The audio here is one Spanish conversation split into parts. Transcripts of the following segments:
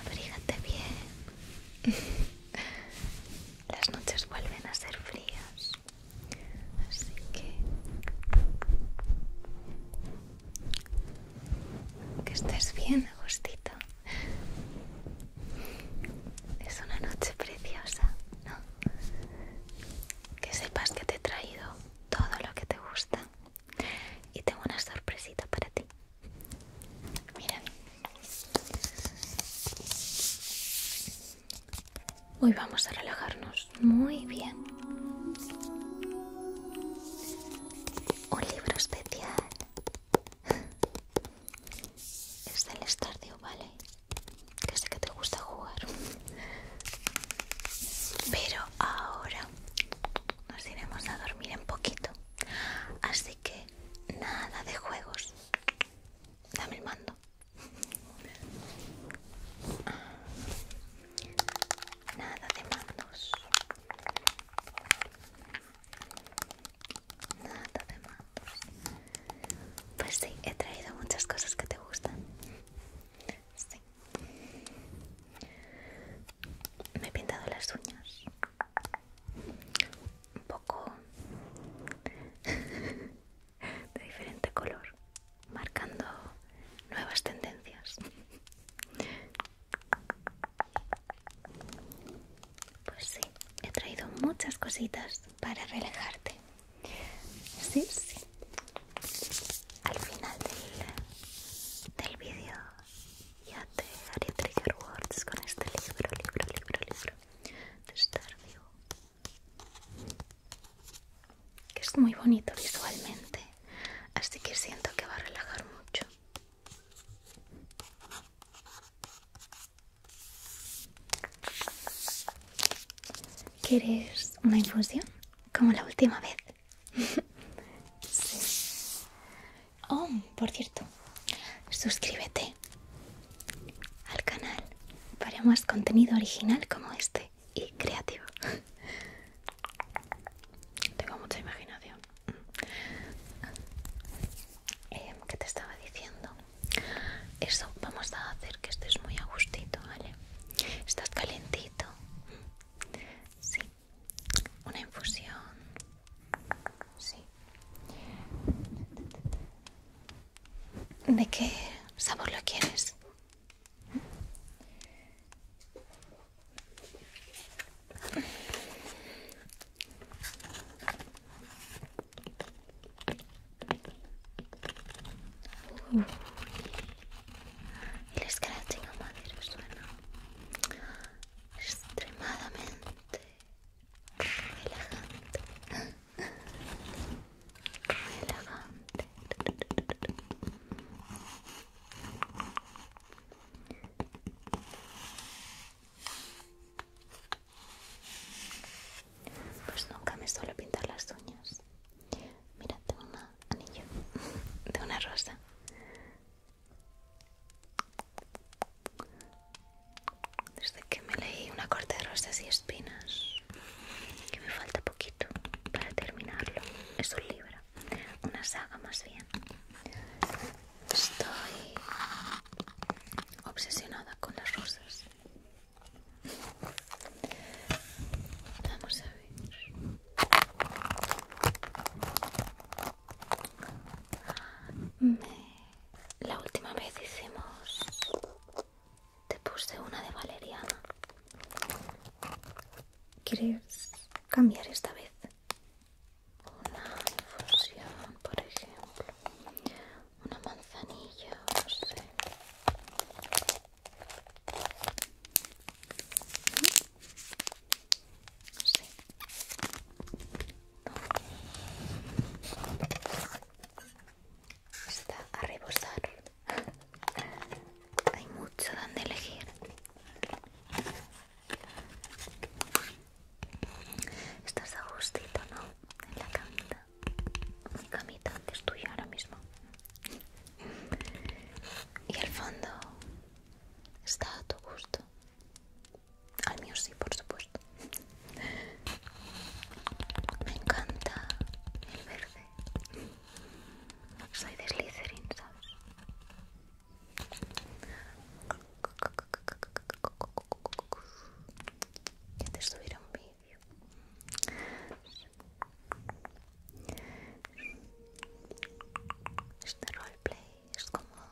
Abrígate bien. Las noches vuelven a ser frías. Así que... Que estés bien, Agustito. Es una noche preciosa, ¿no? Que sepas que te he traído todo lo que te gusta. Y tengo una sorpresita para ti. Miren. Hoy vamos a relajarnos muy bien. Un libro especial. Es el estadio, vale. Que sé que te gusta jugar. Pero ahora nos iremos a dormir en poquito. Así que nada de juegos. Dame el mando. Nada de mandos. Nada de mandos. Pues sí, he traído muchas cosas que te gustan. Sí. Me he pintado las uñas un poco de diferente color marcando nuevas tendencias pues sí he traído muchas cositas para relajarte sí sí al final del, del vídeo ya te haré trigger words con este libro, libro, libro, libro de Starview que es muy bonito visualmente así que siento que va a relajar mucho ¿Quieres una infusión? Como la última vez. sí. Oh, por cierto, suscríbete al canal para más contenido original como este y creativo. Tengo mucha imaginación. Eh, ¿Qué te estaba diciendo? Eso, vamos a hacer que estés muy a gustito, ¿vale? Estás calentito. Sí, una infusión. Sí. ¿De qué sabor lo quieres? Uh. El scratching a madera suena extremadamente relajante, relajante. Pues nunca me suelo pintar las uñas. Mira, tengo un anillo de una rosa. Desde que me leí una corte de rosas y espinas, que me falta poquito para terminarlo. Es un libro, una saga más bien. Estoy obsesionada con las rosas. Vamos a ver. La última vez hicimos... Te puse una de valeriana. ¿Quieres cambiar esta vez? Una fusión por ejemplo. Una manzanilla, no sé. Está a rebosar. Hay mucho donde elegir. Estás a gustito, ¿no? En la camita. Mi camita es tuya ahora mismo. Y el fondo está a tu gusto. Al mío sí, por supuesto. Me encanta el verde. Soy de Slytherin, ¿sabes? Ya te subiré un vídeo. Este roleplay es como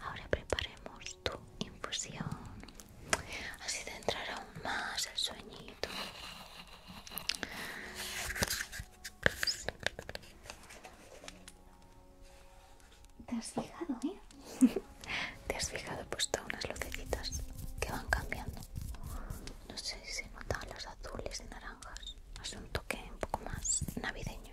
Ahora preparemos tu infusión. Así te entrar aún más el sueñito. ¿Te has fijado, eh? ¿Te has fijado? pues puesto unas lucecitas que van cambiando. No sé si se notan las azules y naranjas. Hace un toque un poco más navideño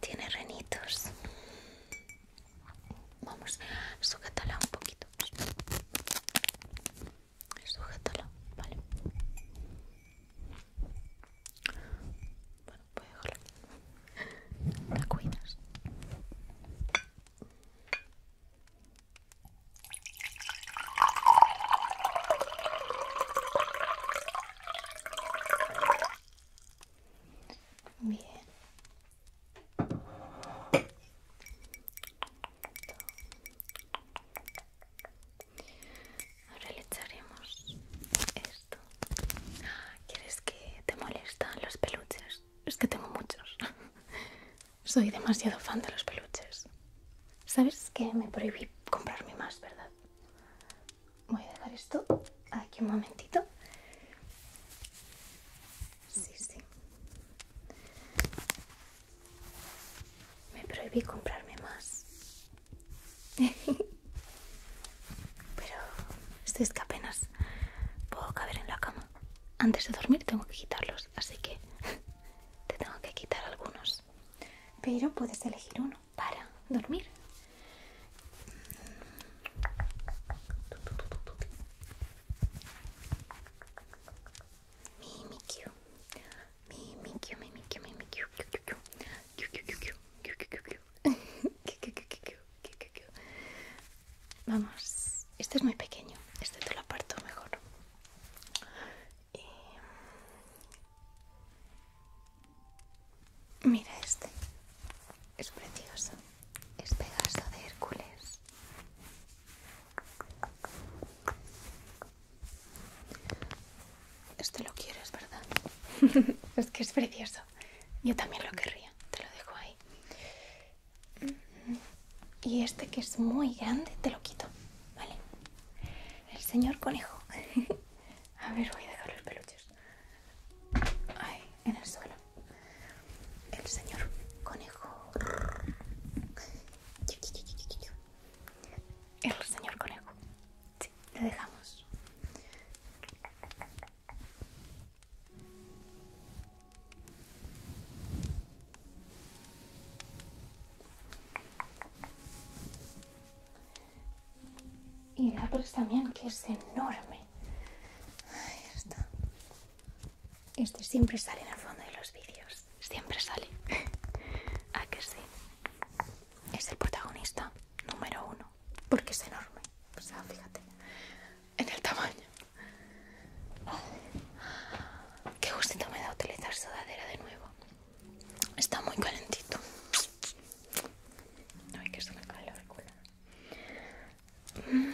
Tiene renitos. Vamos, sujétala un poquito. Sujétala, vale. Bueno, voy a dejarla. La cuidas. Bien. Ahora le echaremos esto. Ah, ¿Quieres que te molestan los peluches? Es que tengo muchos. Soy demasiado fan de los peluches. ¿Sabes que me prohibí comprarme más, verdad? voy a dejar esto aquí un momentito. Sí, sí. Me prohibí comprarme más. Pero esto es que apenas puedo caber en la cama. Antes de dormir tengo que quitarlos, así que te tengo que quitar algunos. Pero puedes elegir uno para dormir. Vamos, este es muy pequeño, este te lo aparto mejor. Mira este. Es precioso. Es Pegaso de Hércules. Este lo quieres, ¿verdad? es que es precioso. Yo también lo querría. Te lo dejo ahí. Y este que es muy grande, te lo quito. ¿Vale? El señor conejo. A ver, voy a dejar los peluches ahí, en el suelo. El señor conejo. El señor conejo. Sí, le dejamos. Y la Perks también, que es enorme. Ahí está. Este siempre sale en el fondo de los vídeos. Siempre sale. ¿A que sí? Es el protagonista número uno. Porque es enorme. fíjate. En el tamaño. Qué gustito me da utilizar sudadera de nuevo. Está muy calentito. No, Ay, que es una calor, Mmm.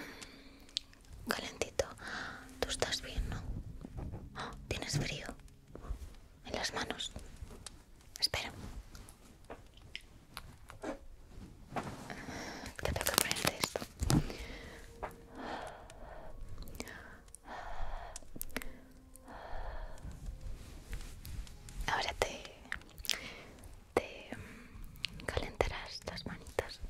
Calentito. Tú estás bien, ¿no? Ah, ¿Tienes frío? En las manos. Espera. Te tengo que esto. Ahora te, te mm, calentarás las manitas.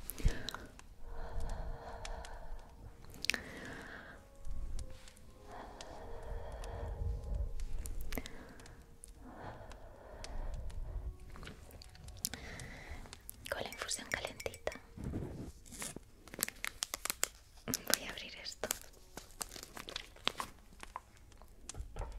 Con la infusión calentita. Voy a abrir esto. Vamos a sacarlo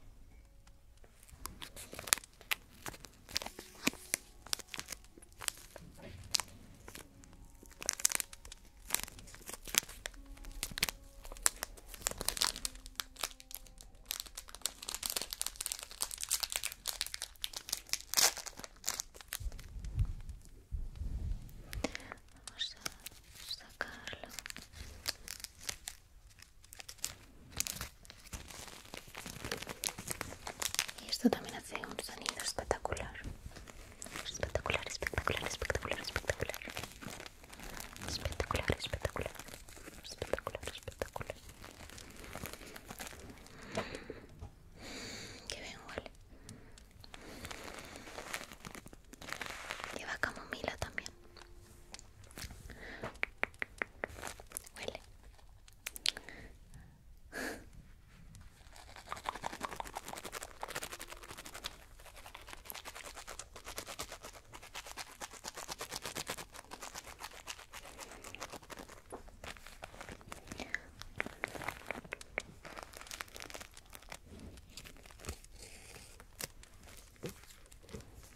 y esto también hace un sonido espectacular. Espectacular, espectacular, espectacular, espectacular. Espectacular, espectacular. Espectacular, espectacular. Qué bien huele. Lleva camomila también. Huele.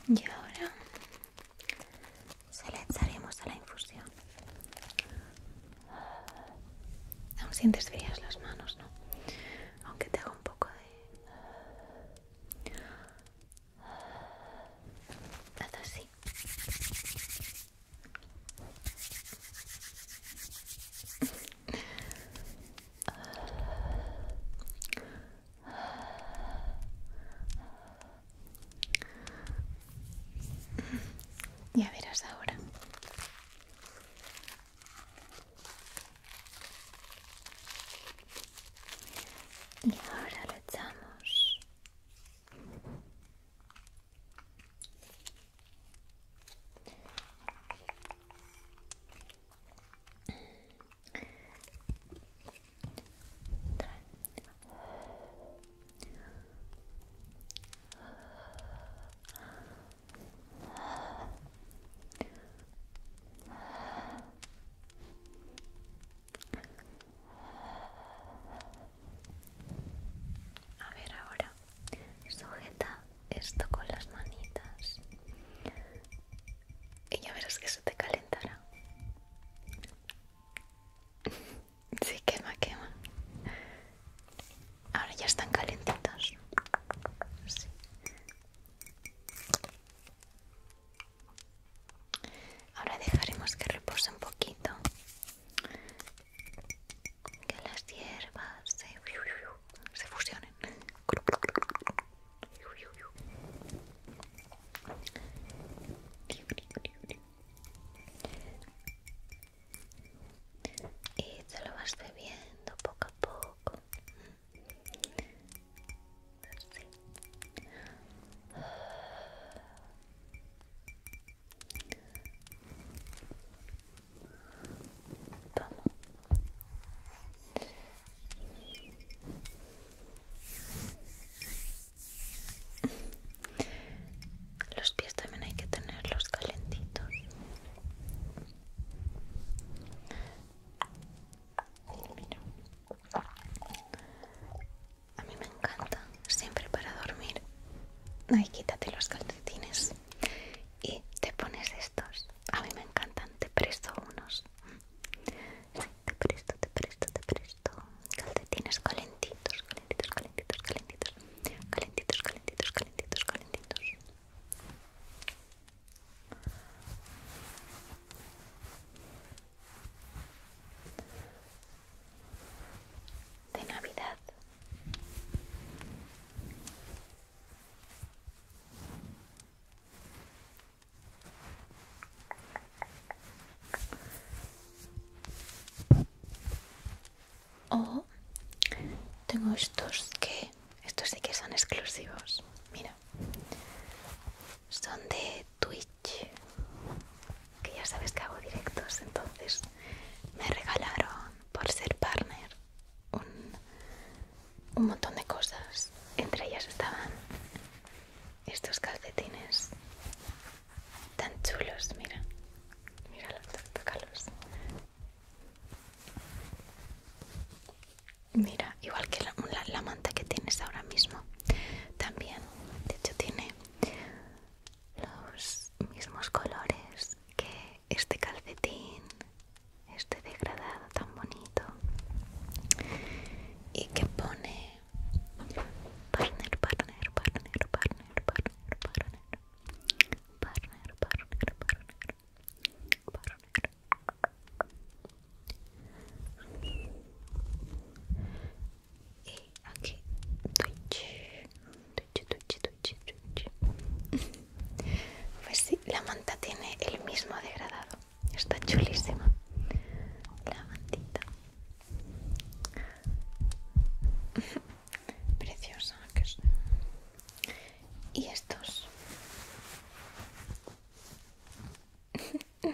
Y ahora se echaremos a la infusión. Aún sientes frías las manos, ¿no? Aunque te haga un poco de... así. Ya verás ahora. Y ahora lo echamos. A ver ahora, sujeta esto con las manitas y ya verás que se te calentará. Sí, quema, quema. Ahora ya están calentitos. Ahora dejaremos que repose un poquito. Que las hierbas se, se fusionen y te lo vas bebiendo poco a poco Vamos los pies también hay que tenerlos calentitos. A mí me encanta, siempre para dormir. ahí quítate los calcetines y te pones estos. A mí me encantan, te presto unos te presto, te presto, te presto. Calcetines calentitos, calentitos, calentitos, calentitos. Calentitos, calentitos, calentitos, calentitos. De Navidad. Oh, tengo estos que estos sí que son exclusivos. Mira. Son de Twitch. Que ya sabes que hago directos, entonces me regalaron por ser partner un un montón de cosas. Entre ellas estaban estos calcetines tan chulos, mira. mira los tócalos. Mira, igual que la manta que tienes ahora mismo. También, de hecho, tiene los mismos colores que este calcetín este degradado tan bonito y que pone partner, partner, partner, partner, partner, partner, partner, Y aquí Twitch, Pues sí, la manta tiene el mismo degradado está chulísima la mantita preciosa que y estos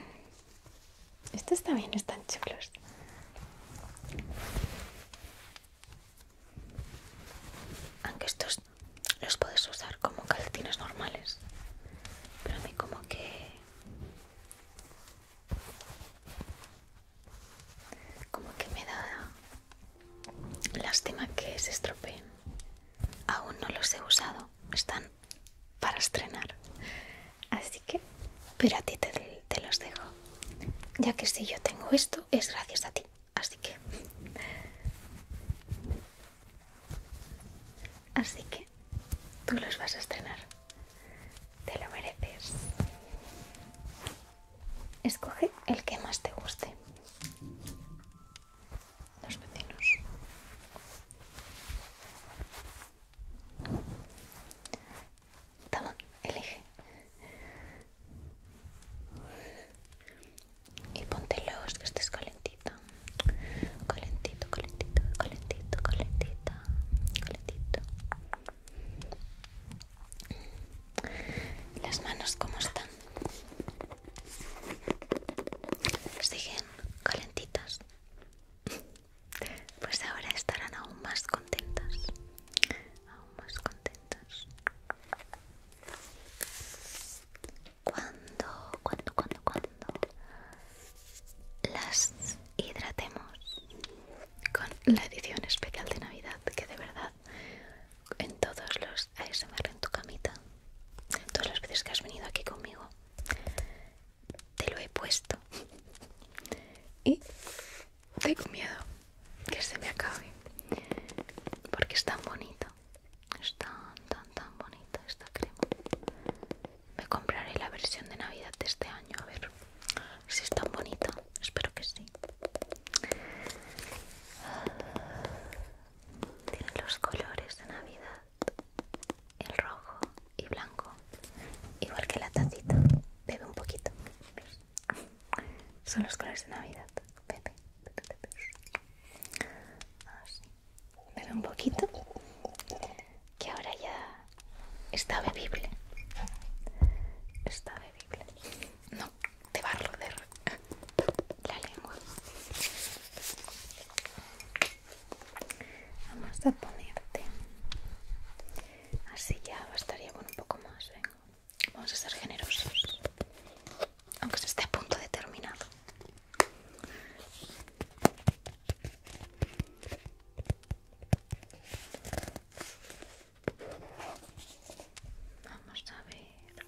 estos también están chulos aunque estos los puedes usar como calcetines normales pero a mí como que como que me da lástima que se estropeen aún no los he usado están para estrenar así que pero a ti te los dejo ya que si yo tengo esto es gracias a ti así que Así que tú los vas a estrenar. Te lo mereces. Escoge el que más te guste. Los vecinos. Toma, elige y póntelos que estés calentita calentito calentito calentito calentita calentito las manos cómo están siguen calentitas pues ahora estarán aún más contentas aún más contentas cuando, cuando, cuando, cuando las hidratemos con la edición especial de Navidad, que de verdad en todos los ASMR en tu camita, todas las veces que has venido aquí conmigo, te lo he puesto y tengo miedo que se me acabe porque es tan bonito es tan tan tan bonita esta crema me compraré la versión de navidad de este año a ver si es tan bonita espero que sí Tienen los colores de navidad el rojo y blanco igual que la tacita bebe un poquito son los colores de navidad bebe, así Dale un poquito, que ahora ya está bebible. Está bebible. No, te va a roder la lengua. Vamos a ponerte. Así ya bastaría con un poco más. ¿eh? Vamos a ser generosos. Aunque se esté a punto de terminar. Vamos a ver.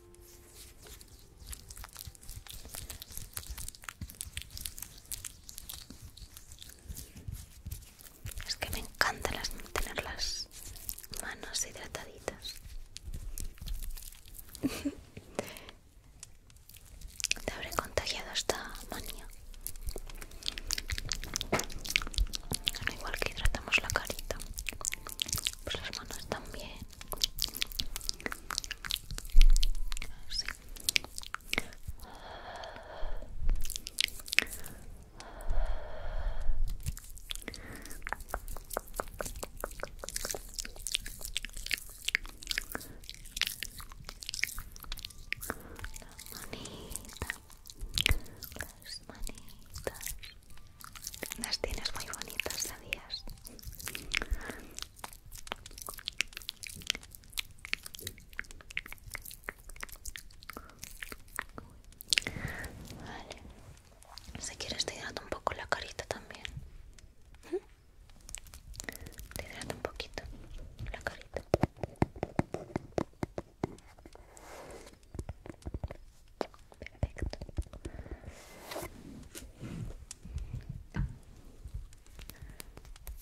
Es que me encanta las, tener las manos hidrataditas. Te habré contagiado esta manía. igual que hidratamos la carita, pues las manos también. Las manitas, las manitas. Las tienes muy bonitas, ¿sabías? Vale. Si quieres te un poco la carita también. ¿Mm? Te un poquito la carita. Perfecto.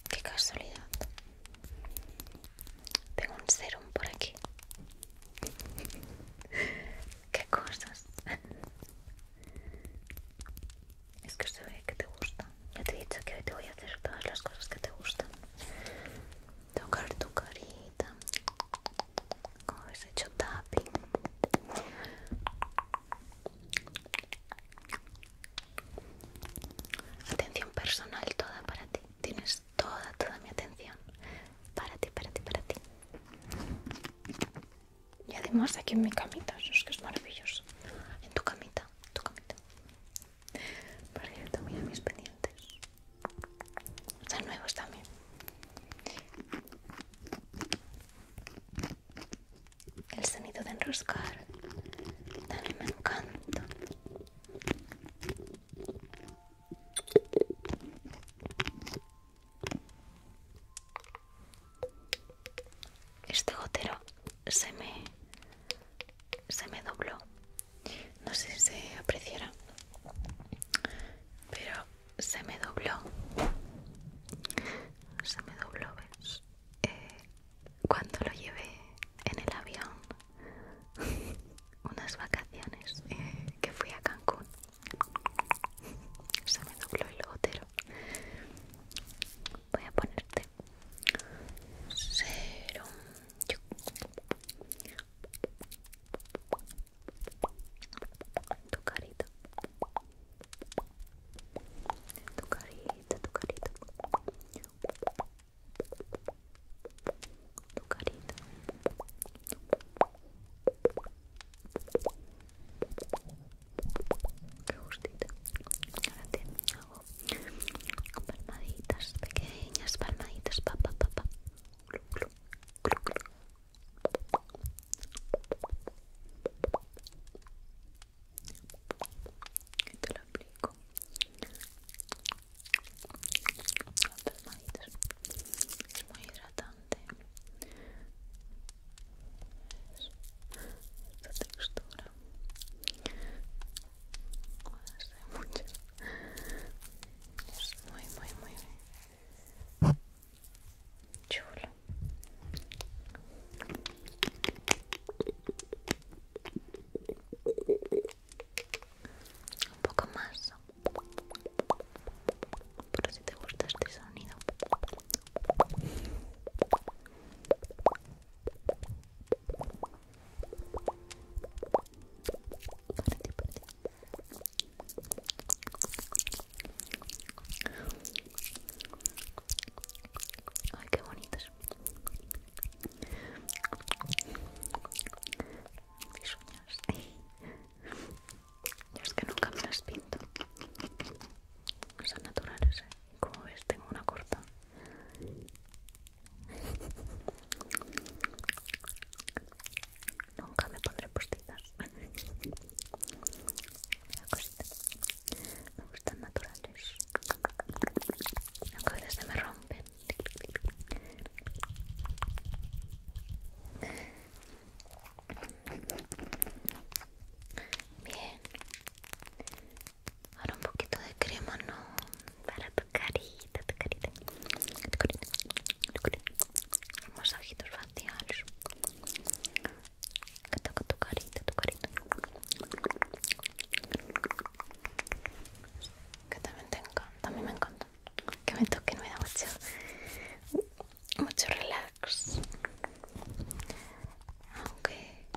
Qué casualidad. Tengo un serum por aquí. Qué cosas. Es que se ve que te gusta. Ya te he dicho que hoy te voy a hacer todas las cosas que te gustan. Tocar tu carita. Como habéis hecho tapi. Atención personal toda para ti. Tienes toda, toda mi atención. Para ti, para ti, para ti. Y además aquí en mi camita, eso es que es maravilloso. En tu camita, en tu camita. Por cierto, mira mis pendientes. Están nuevos también. El sonido de enroscar también me encanta. Este gotero se me, se me dobló. No sé si se apreciará, pero se me dobló. Se me dobló, ¿ves? Eh, cuando lo llevé en el avión, unas vacaciones eh, que fui a Cancún, se me dobló el gotero voy a ponerte cero tu carita tu carita tu carita tu carita que gustito. Ahora te palmaditas pequeñas, palmaditas, papá te lo aplico. Es muy hidratante esta textura es muy muy muy chulo un poco más por si te gusta este sonido Ay, qué bonitos. Mis uñas. es que nunca me las pinto. Son naturales, ¿eh? Como ves, tengo una corta. Nunca me pondré postizas. Me gustan naturales. Las a se me rompen. Bien, Ahora un poquito de crema, ¿no? Para tu carita, tu carita. Tu carita, tu carita. Masajitos faciales. Que toca tu carita, tu carita. Que también tengo, también me encanta. Que me toquen, me da mucho, mucho relax. Aunque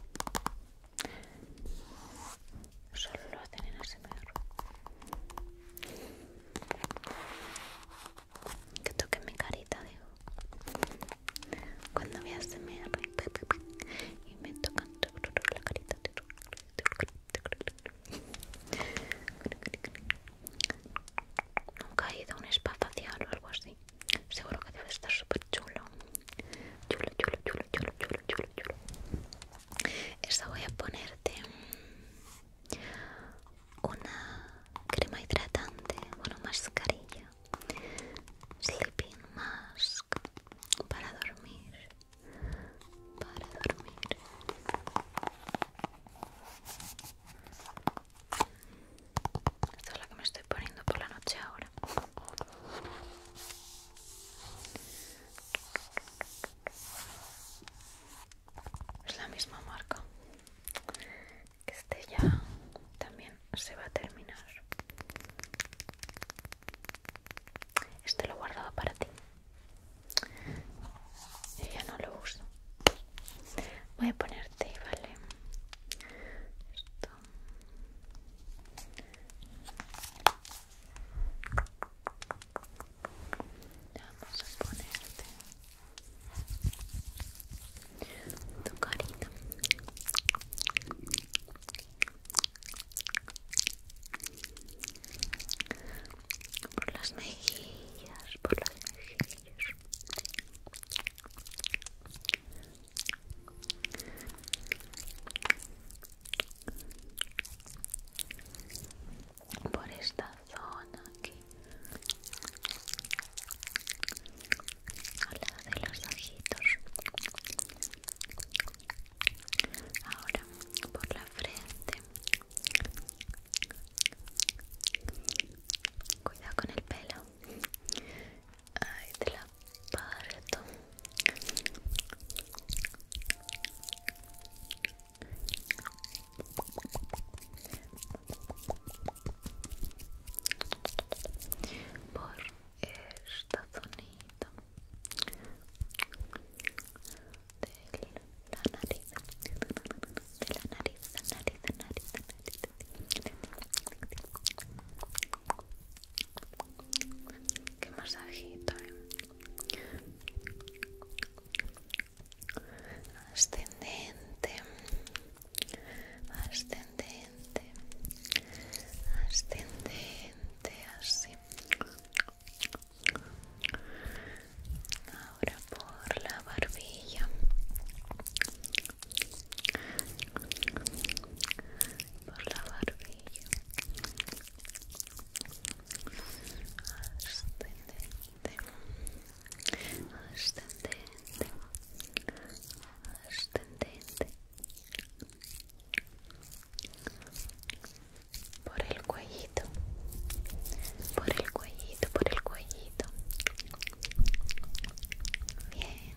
Solo lo hacen en Que toque mi carita, digo. Cuando me ASMR y me tocan la carita. Nunca he ido a un spa facial o algo así. Seguro que debe estar súper chulo. Chulo, chulo, chulo, chulo, chulo, chulo, chulo. Esta voy a ponerte una crema hidratante, bueno, mascarilla, sleeping mask para dormir, para dormir. Esta es la que me estoy poniendo por la noche ahora. Es la misma marca. Este ya también se va a terminar. Este lo he guardado para ti. Yo ya no lo uso. Voy a ponerte, ¿vale? Esto. Vamos a ponerte tu carita. Por las mejillas, por las mejillas por esta zona aquí al lado de los ojitos ahora por la frente cuidado con el pelo Ay te la parto por esta zonita de la nariz de la nariz, nariz, la nariz. Qué masajito, eh. Ascendente, ascendente, ascendente, así. Ahora por la barbilla por la barbilla ascendente ascendente ascendente por el cuellito por el cuellito por el cuellito bien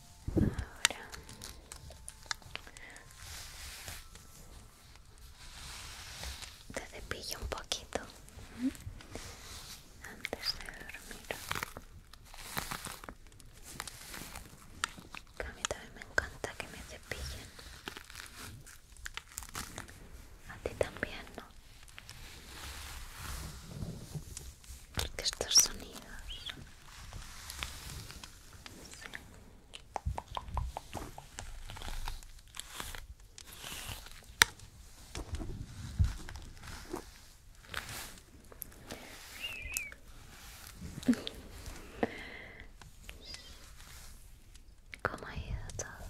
Ahora te cepillo un poquito antes de dormir. a mí también me encanta que me cepillen. A ti también, ¿no? Porque estos sonidos ¿Cómo ha ido todo?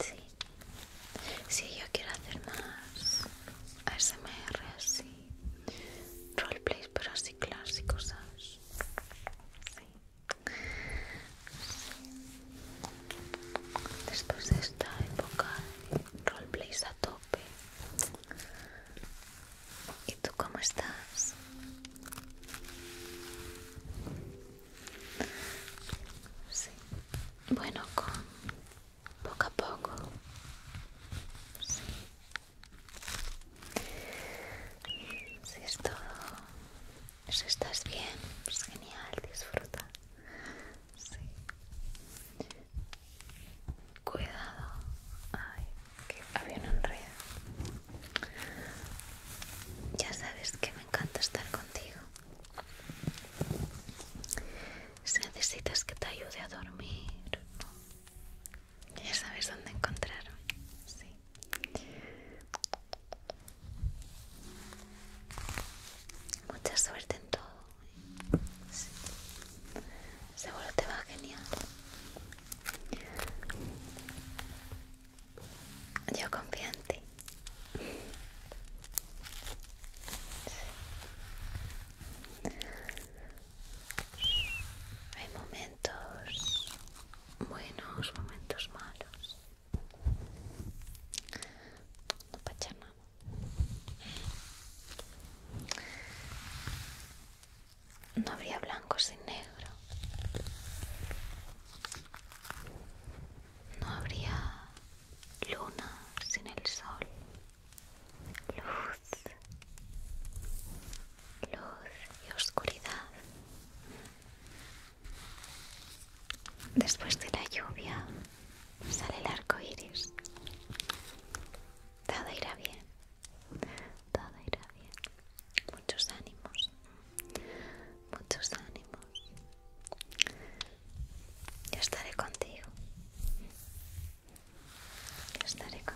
Sí, si yo quiero hacer más ASMR así roleplays pero así clásicos después de esta época de roleplays a tope ¿y tú cómo estás? sí. bueno con poco a poco sí. si es todo si estás bien pues genial disfruta sí. cuidado ay que había un enredo ya sabes que me encanta estar contigo si necesitas que te ayude a dormir, ya sabes dónde encontrarme. Mucha suerte en todo. Seguro te va genial. Yo confío en ti. Hay momentos buenos, momentos malos. No No habría blanco sin negro. No habría luna sin el sol, luz, luz y oscuridad. Después de la lluvia sale el arco iris. Todo irá bien, todo irá bien. Muchos ánimos, muchos ánimos. Yo estaré contigo. Yo estaré contigo.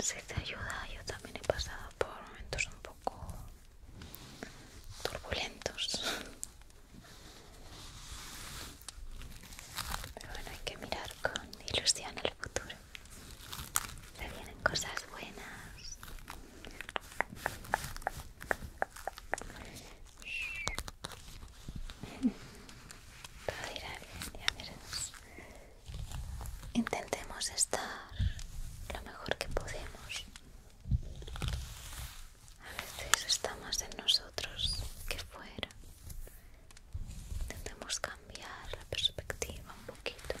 Si te ayuda, yo también he pasado por momentos un poco turbulentos pero bueno, hay que mirar con ilusión el futuro. Se vienen cosas buenas. Todo irá bien, Intentemos estar lo mejor que podemos. A veces está más en nosotros que fuera. Intentemos cambiar la perspectiva un poquito.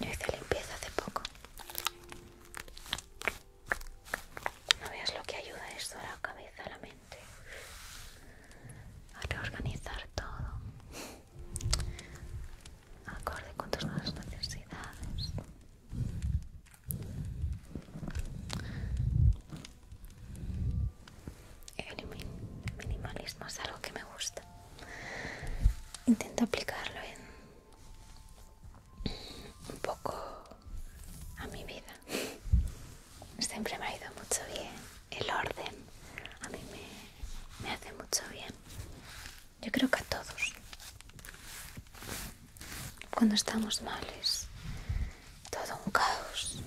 Yo hice limpieza hace poco. No veas lo que ayuda esto a la cabeza, a la mente, a reorganizar todo, acorde con tus nuevas necesidades. El minimalismo es algo que me gusta. Intento aplicarlo en un poco a mi vida. Siempre me ha ido mucho bien el orden. A mí me, me hace mucho bien. Yo creo que a todos. Cuando estamos mal es todo un caos.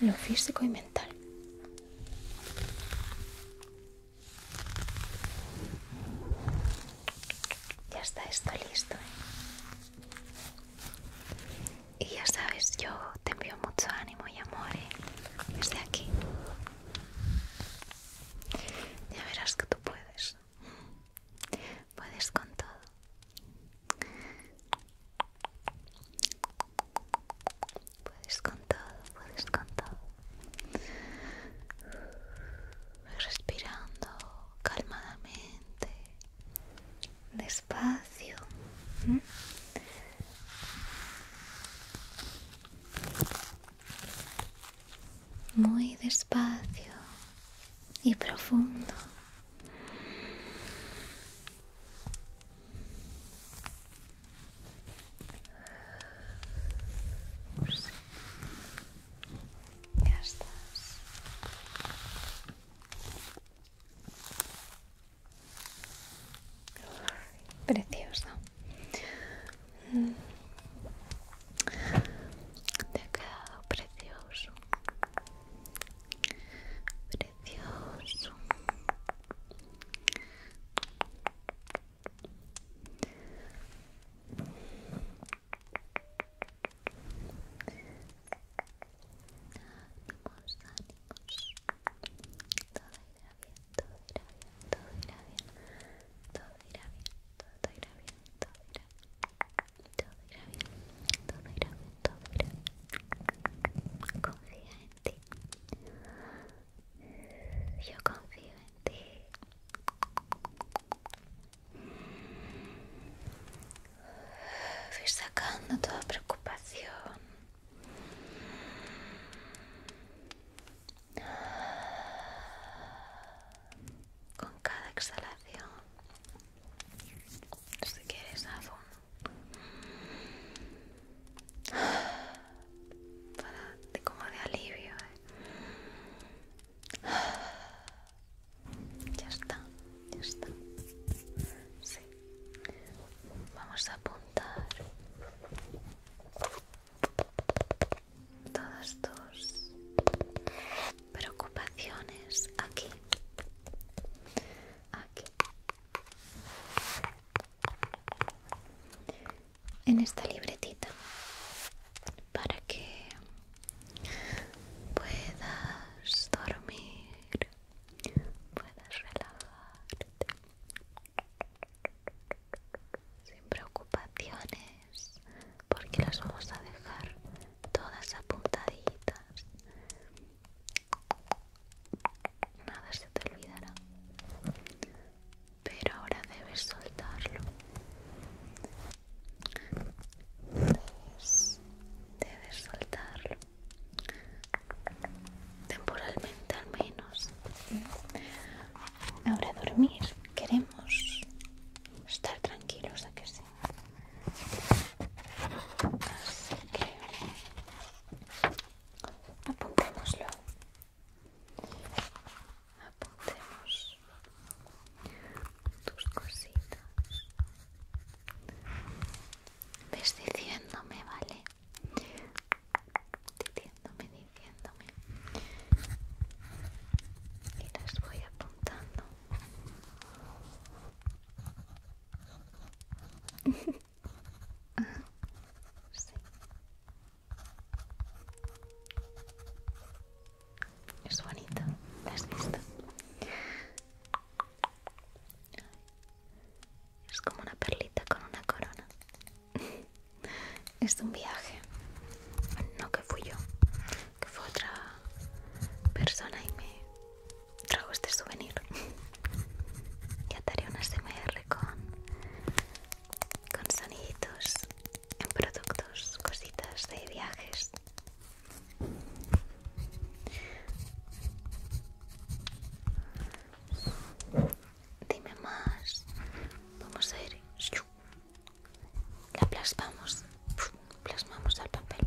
Lo físico y mental. Ya está esto listo. ¿eh? Y ya sabes, yo te envío mucho ánimo y amor ¿eh? desde aquí. Ya verás que tú puedes. Puedes con todo. Puedes con todo, puedes con todo. Respirando calmadamente, despacio muy despacio y profundo. Ya estás. precioso te ha quedado precioso. Precioso. Ánimos, ánimos. Todo irá bien, todo irá bien, todo irá bien, todo irá bien todo irá bien, todo irá bien, todo irá bien, todo irá bien, Confía en ti. Yo confío en ti. Fui sacando toda preocupación. Con cada exhalación, si quieres, a un para de como de alivio. Eh. Ya está, ya está. Sí. Vamos a apuntar todas tus preocupaciones aquí aquí en esta libretita para que puedas dormir puedas relajarte sin preocupaciones porque las vamos a dejar todas apuntaditas nada se te olvidará pero ahora debes soltarlo debes soltarlo temporalmente al menos Ahora dormir. Queremos estar tranquilos, ¿a que sí? Así que apuntémoslo. Apuntemos tus cositas. Ves diciéndome, ¿vale? Diciéndome, diciéndome y las voy apuntando es bonito es como una perlita con una corona es un viaje no que fui yo que fue otra persona y me trajo este souvenir. y ataré un SMR con, con soniditos en productos, cositas de viajes. Dime más. Vamos a ir la plasmamos plasmamos al papel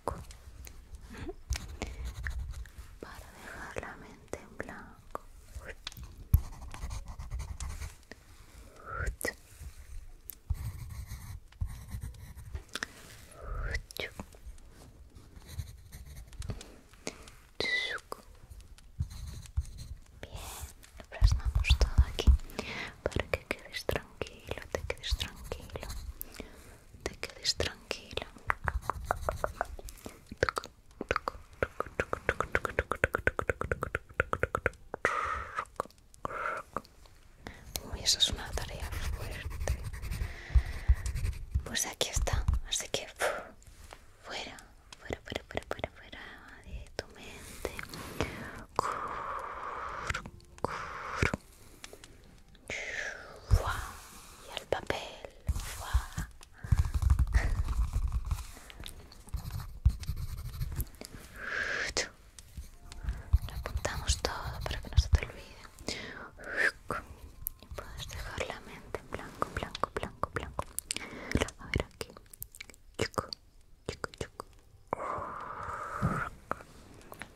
para dejar la mente en blanco Bien, plasmamos todo aquí para que quedes tranquilo, te quedes tranquilo te quedes tranquilo Uy, eso es una tarea fuerte. Pues aquí está, así que fuera, fuera, fuera, fuera, fuera, fuera de tu mente y el papel. Lo apuntamos todo para que no se te olvide. y Puedes dejar la mente en blanco, blanco, blanco, blanco. A ver aquí. Chico, chico, chico.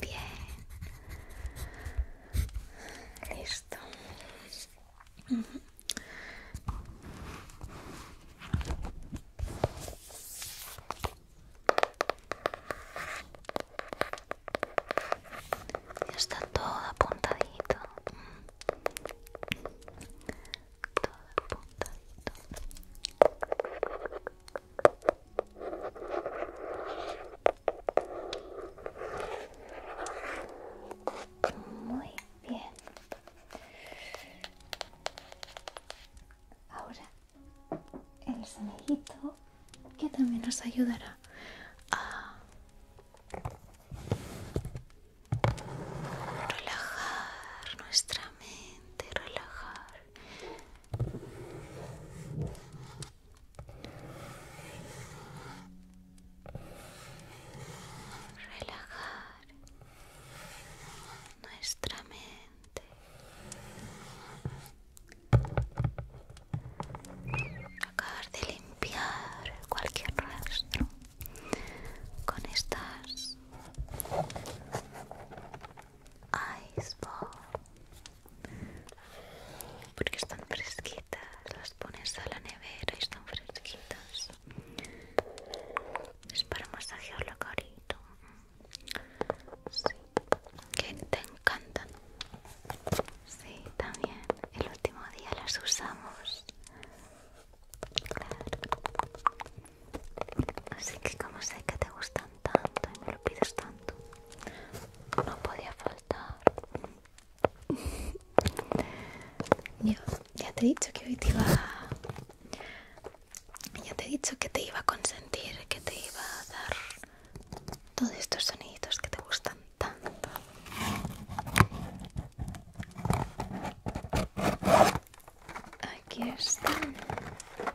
Bien. Listo. Ya está todo apuntadito. Todo apuntadito. Muy bien. Ahora el sonejito que también nos ayudará a relajar nuestra mente, relajar relajar nuestra mente acabar de limpiar cualquier rastro con estas Ice porque están fresquitas, las pones a la nevera y están fresquitas es para masajear la carita sí, que te encantan si también el último día las usamos claro así que como sé que te gustan tanto y me lo pides tanto. No podía faltar. ya te he dicho que hoy te iba a... Ya te he dicho que te iba a consentir, que te iba a dar todos estos sonidos que te gustan tanto. Aquí están.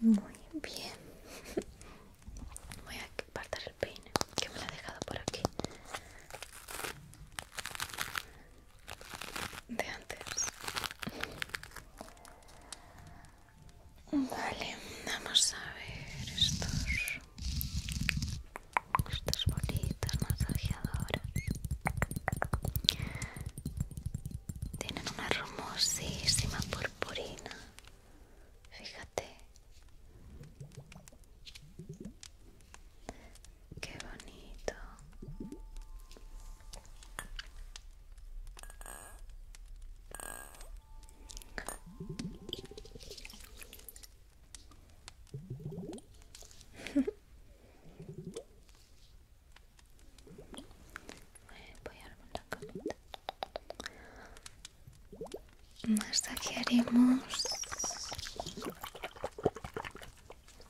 Muy bien. Voy a apartar el peine que me la he dejado por aquí. De antes. Vale, vamos a ver estos estos bolitas masajeadoras. Tienen una hermosísima purpurina. Fíjate. Qué bonito. Voy a dar la camita. Masajearemos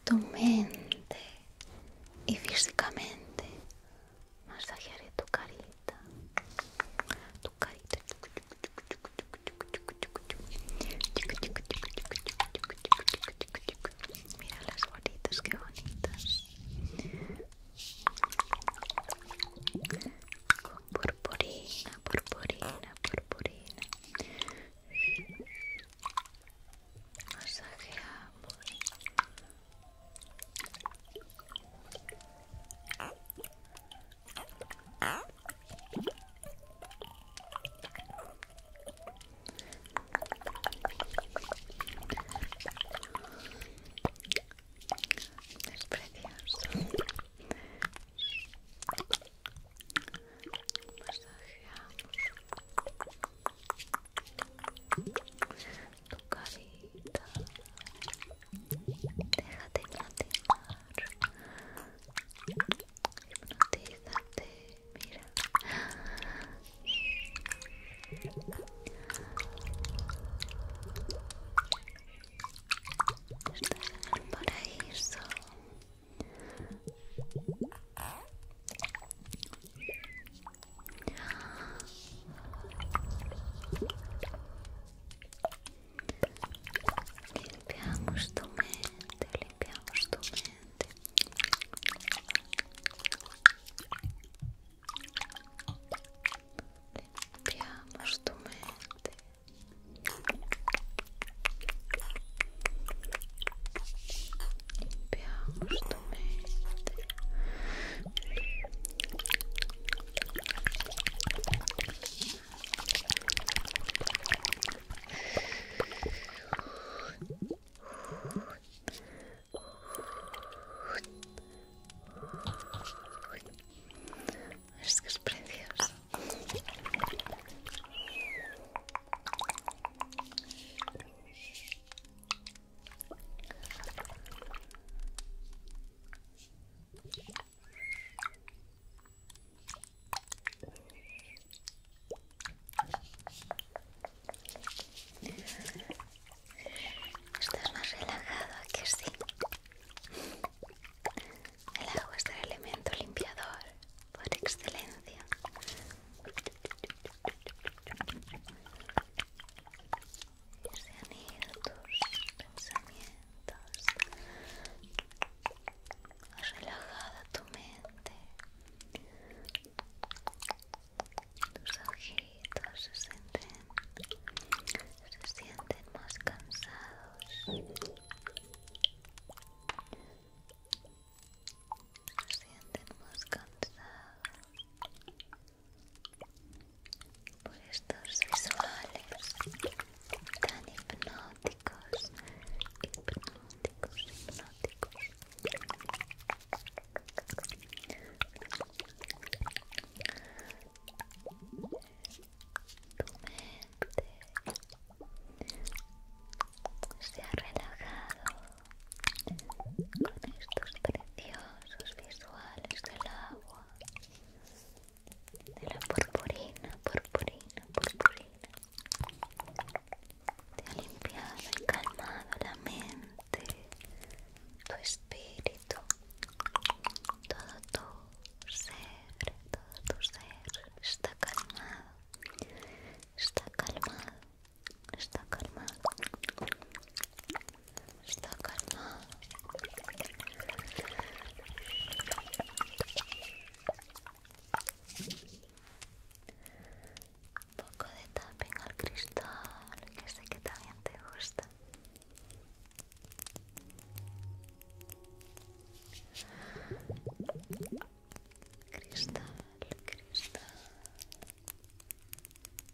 tu mente y físicamente Masz zachiery tu karita. Tu karita. Mira las bolitas, qué bonitas. Con purpurina, purpurina, purpurina. Masajeamos Es precioso. Masajeamos tu carita déjate hipnotizar hipnotízate mira Limpiamos tu mente, limpiamos tu mente. Limpiamos tu mente. Limpiamos es que es precioso Estás más relajado que sí. El agua es el elemento limpiador por excelencia se han ido tus pensamientos. Has relajado tu mente. Tus ojitos se sienten, se sienten más cansados. Se sienten más cansados por estos visuales tan hipnóticos, hipnóticos, hipnóticos. Tu mente se ha relajado con estos preciosos visuales del agua de la purpurina, purpurina, purpurina te ha limpiado y calmado la mente, tu espíritu, todo tu ser, todo tu ser está calmado, está calmado, está calmado, está calmado. Un poco de tapping al cristal, que sé que también te gusta. Cristal, cristal.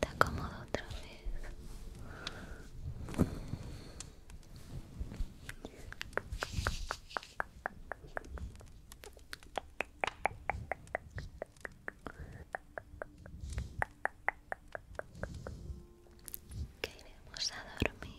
¿te acomodo otra vez. Queremos iremos a dormir.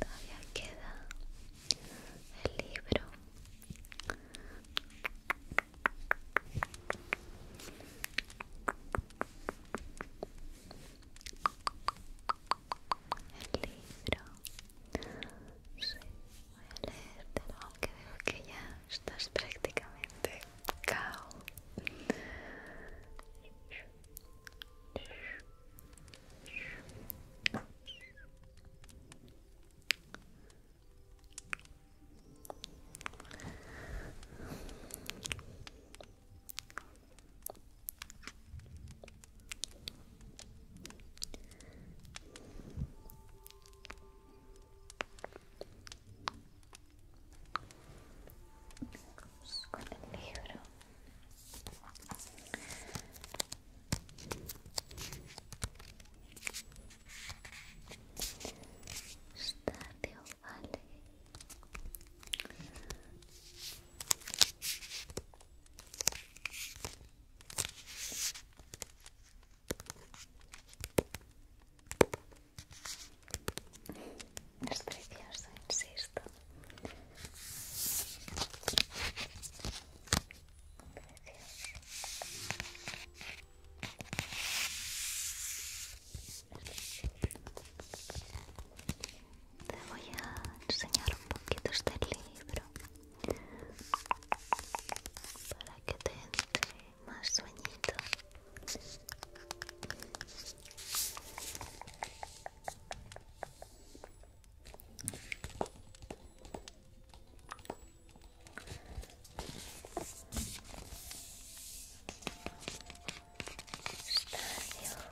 Todavía queda el libro. El libro. Sí. Voy a leerte, aunque veo que ya estás prácticamente cao. Vamos con el libro. Estadio Vale. Es precioso, insisto. Te voy a enseñar un poquito este libro para que te entre más sueñito yo,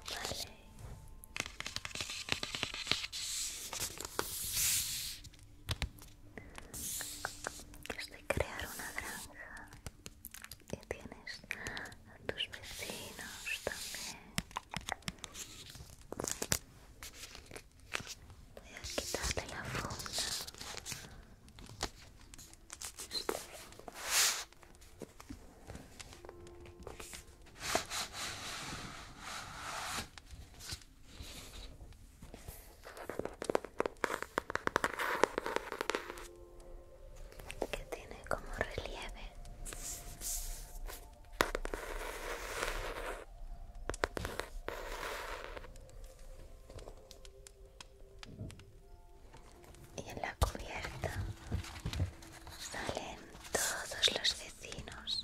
vale es de crear una granja y tienes a tus vecinos también voy a quitarle la funda que tiene como relieve y en la cubierta salen todos los vecinos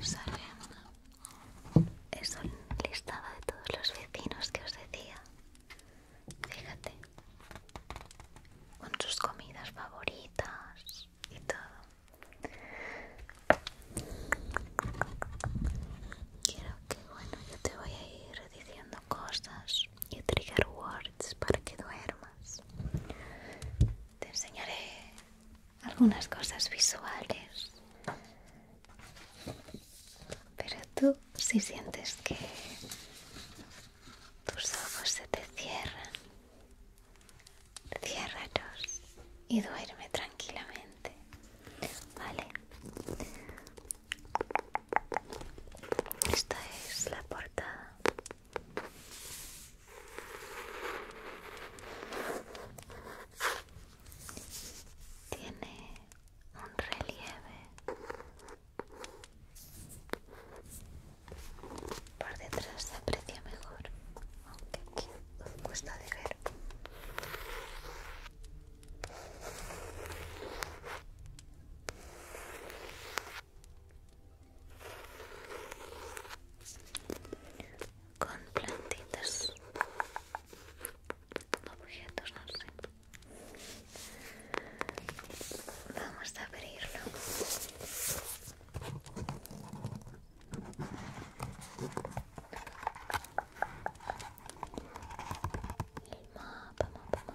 Sale es un de todos los vecinos que os decía. Fíjate, con sus comidas favoritas y todo. Quiero que, bueno, yo te voy a ir diciendo cosas y trigger words para que duermas te enseñaré algunas cosas visuales. Pero tú si sientes que tus ojos se te cierran, ciérralos y duerme tranquilamente. ¿Vale? Esta es la portada tiene un relieve por detrás se aprecia mejor, aunque aquí cuesta de ver con plantitas, objetos, no sé. Vamos a abrirlo. El mapa, mapa, mapa,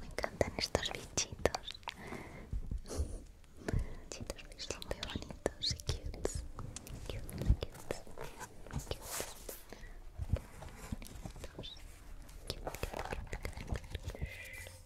me encantan estos bichitos bichitos son muy bonitos y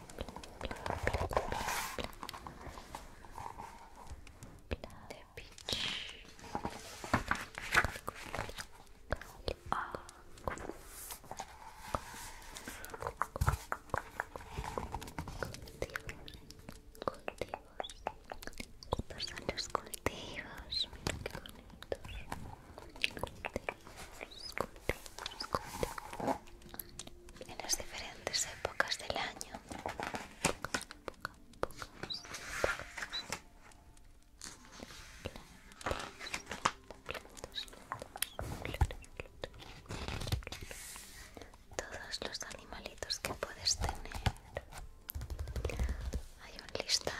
The beach. Pasan los cultivos, mira qué bonitos. Cultivos, cultivos, en las diferentes épocas del año. Todos los animalitos que puedes tener. Hay un listado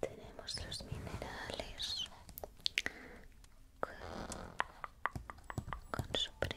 Tenemos los minerales con, su pre...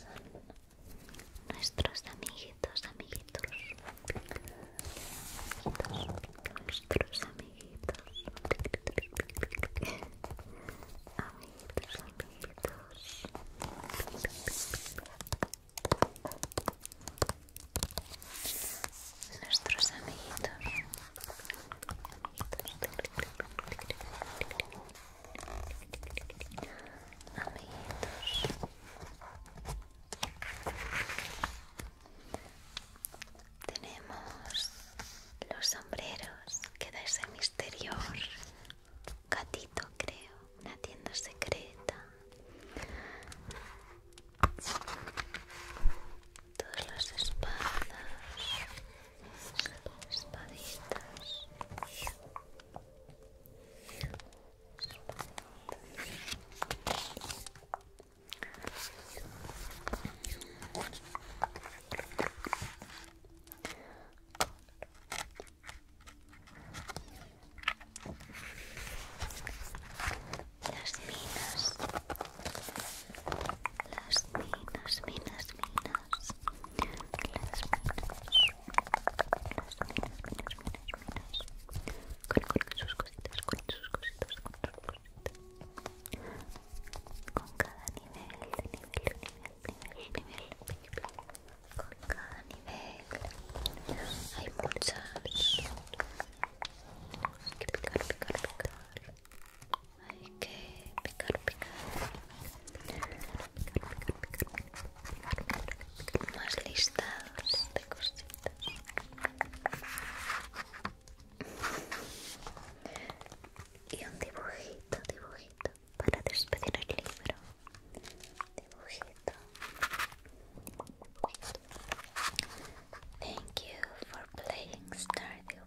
son nuestros amiguitos, amiguitos, amiguitos nuestros amiguitos, amiguitos, amiguitos, nuestros amiguitos amiguitos tenemos los sombreros que ese misterio gatito creo una tienda secreta todas las espadas espaditas las minas las minas, minas, minas, las minas, minas, minas, minas, con, sus cositas, con sus cositas, con cada nivel, nivel, nivel, con cada nivel, hay muchas, que picar hay que picar, picar, más listados de cositas. Y un dibujito, dibujito para despedir el libro. Dibujito. Thank you for playing Stardew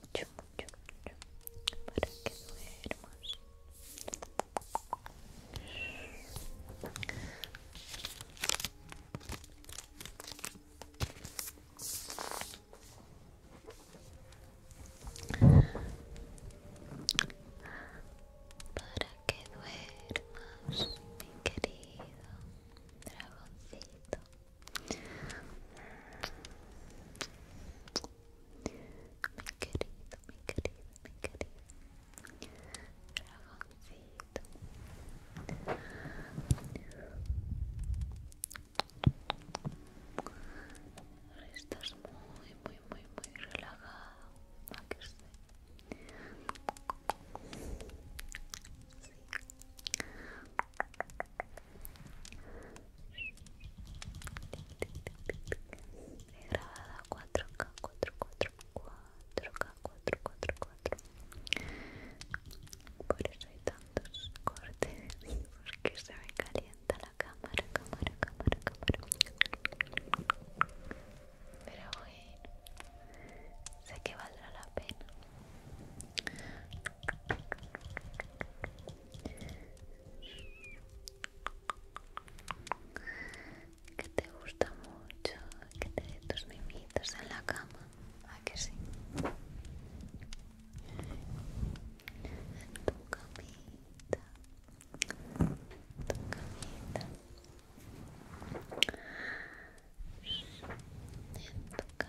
para que duermas. Para que duermas, mi querido dragoncito. Mi querido, mi querido, mi querido estás muy, muy, muy, muy relajado. ¿A que 4K, 4K, 4K, 4K, 4K, 4K. Por eso hay tantos cortes, porque se me calienta la cámara, cámara, cámara, cámara. Pero bueno, sé que valdrá la pena que te gusta mucho que te dé tus mimitos en la cama ¿a que sí? en tu camita tu camita en tu camita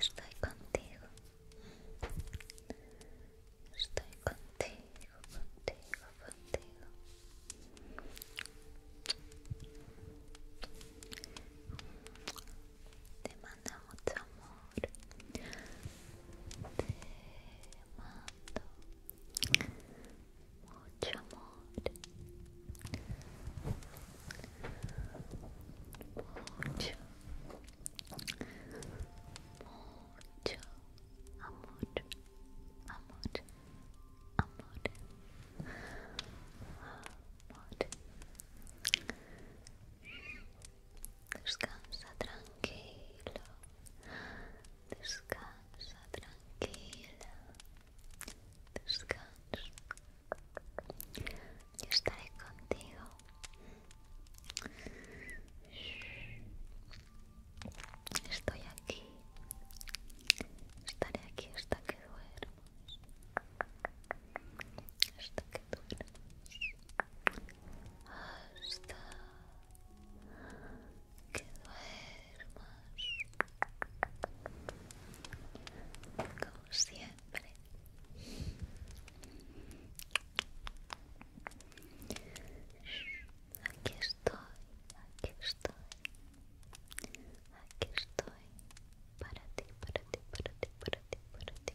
Estoy contigo. Estoy contigo, contigo, contigo. Te mando mucho amor. Te mando Mucho amor. Mucho. Mucho amor. Amor. Amor. Amor. Descansa tranquilo. Descansa. tranquila. Descansa. Yo estaré contigo. Estoy aquí. Estaré aquí hasta que duermas. Hasta que duermas. Hasta que duermas como siempre aquí estoy aquí estoy aquí estoy para ti para ti para ti para ti para ti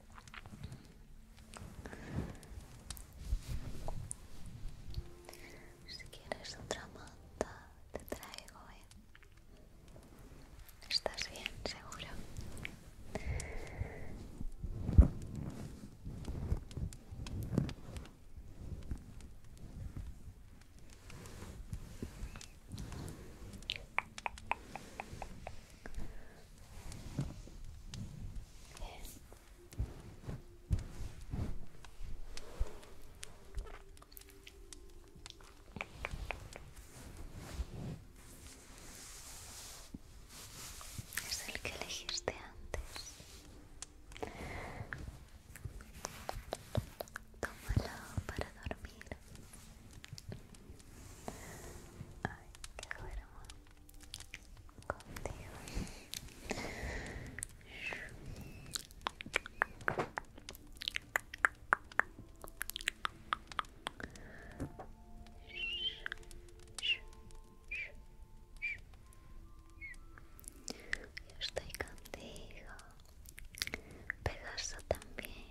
Si quieres otra manta, te traigo, ¿eh? ¿Estás bien, seguro? Es el que elegiste antes. Tómalo para dormir. Ay, qué hermoso yo estoy contigo, Pegaso también.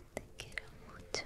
Te quiero mucho.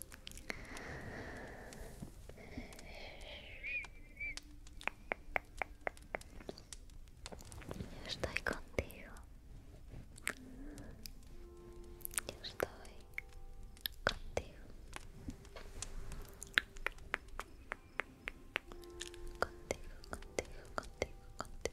Yo estoy contigo. Yo estoy contigo. Contigo, contigo, contigo, contigo. contigo,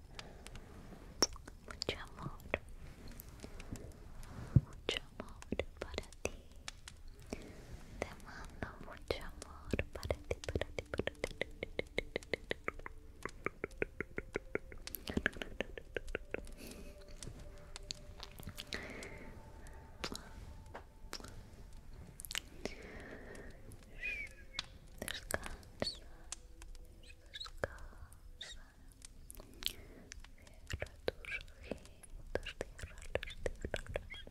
Mucho amor. Mucho amor para ti. Te mando mucho amor para ti, para ti, para ti descansa, descansa. Cierra tus ojitos, cierra los cierra los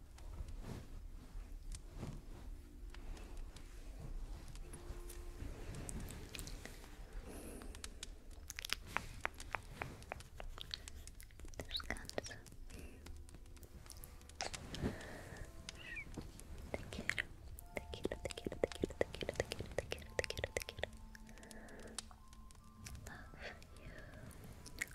Descansa. Te quiero, te quiero, te quiero, te quiero, te quiero, te quiero, te quiero, te quiero, te quiero. Love you.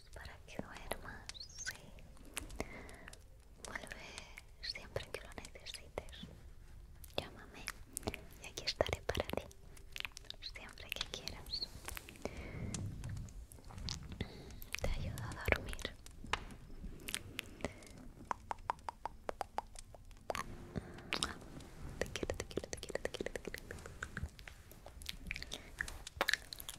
para que duermas, sí. Vuelve siempre que lo necesites. Llámame y aquí estaré para ti, siempre que quieras. Te ayudo a dormir. Te quiero, te quiero, te quiero, te quiero, te quiero.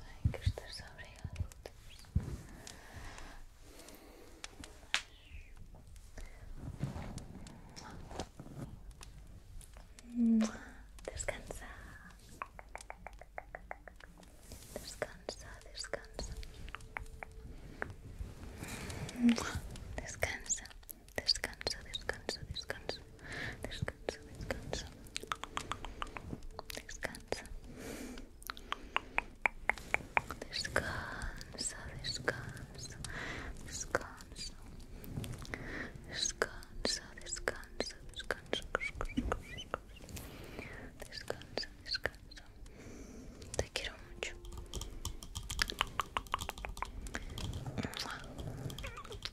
Hay que estar Descansa. Descansa, descansa. Descansa. Descansa, descansa, descansa. Descansa, descansa. Descansa. Descansa, descansa. Descanso. Descansa, descansa, descansa. Descansa, descansa. Te quiero mucho.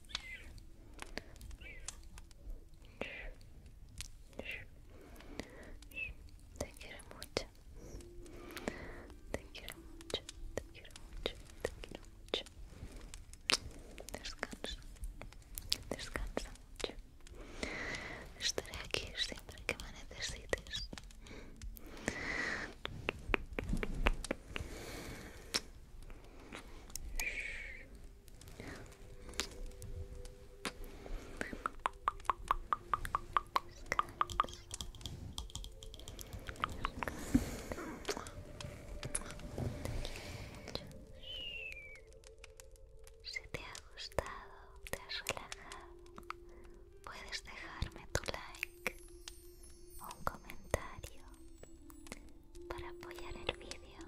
Te quiero mucho. Te quiero muito Te quiero mucho. Te quiero mucho. Descansa. Descansa mucho. Estaré aquí siempre que me necesites. Si te ha gustado, te has relajado, puedes dejarme tu like, o un comentario para apoyar el vídeo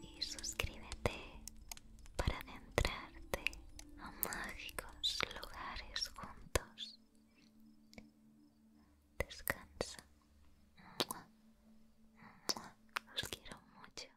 y suscríbete para adentrarte a mágicos lugares juntos. Descansa. Os quiero mucho.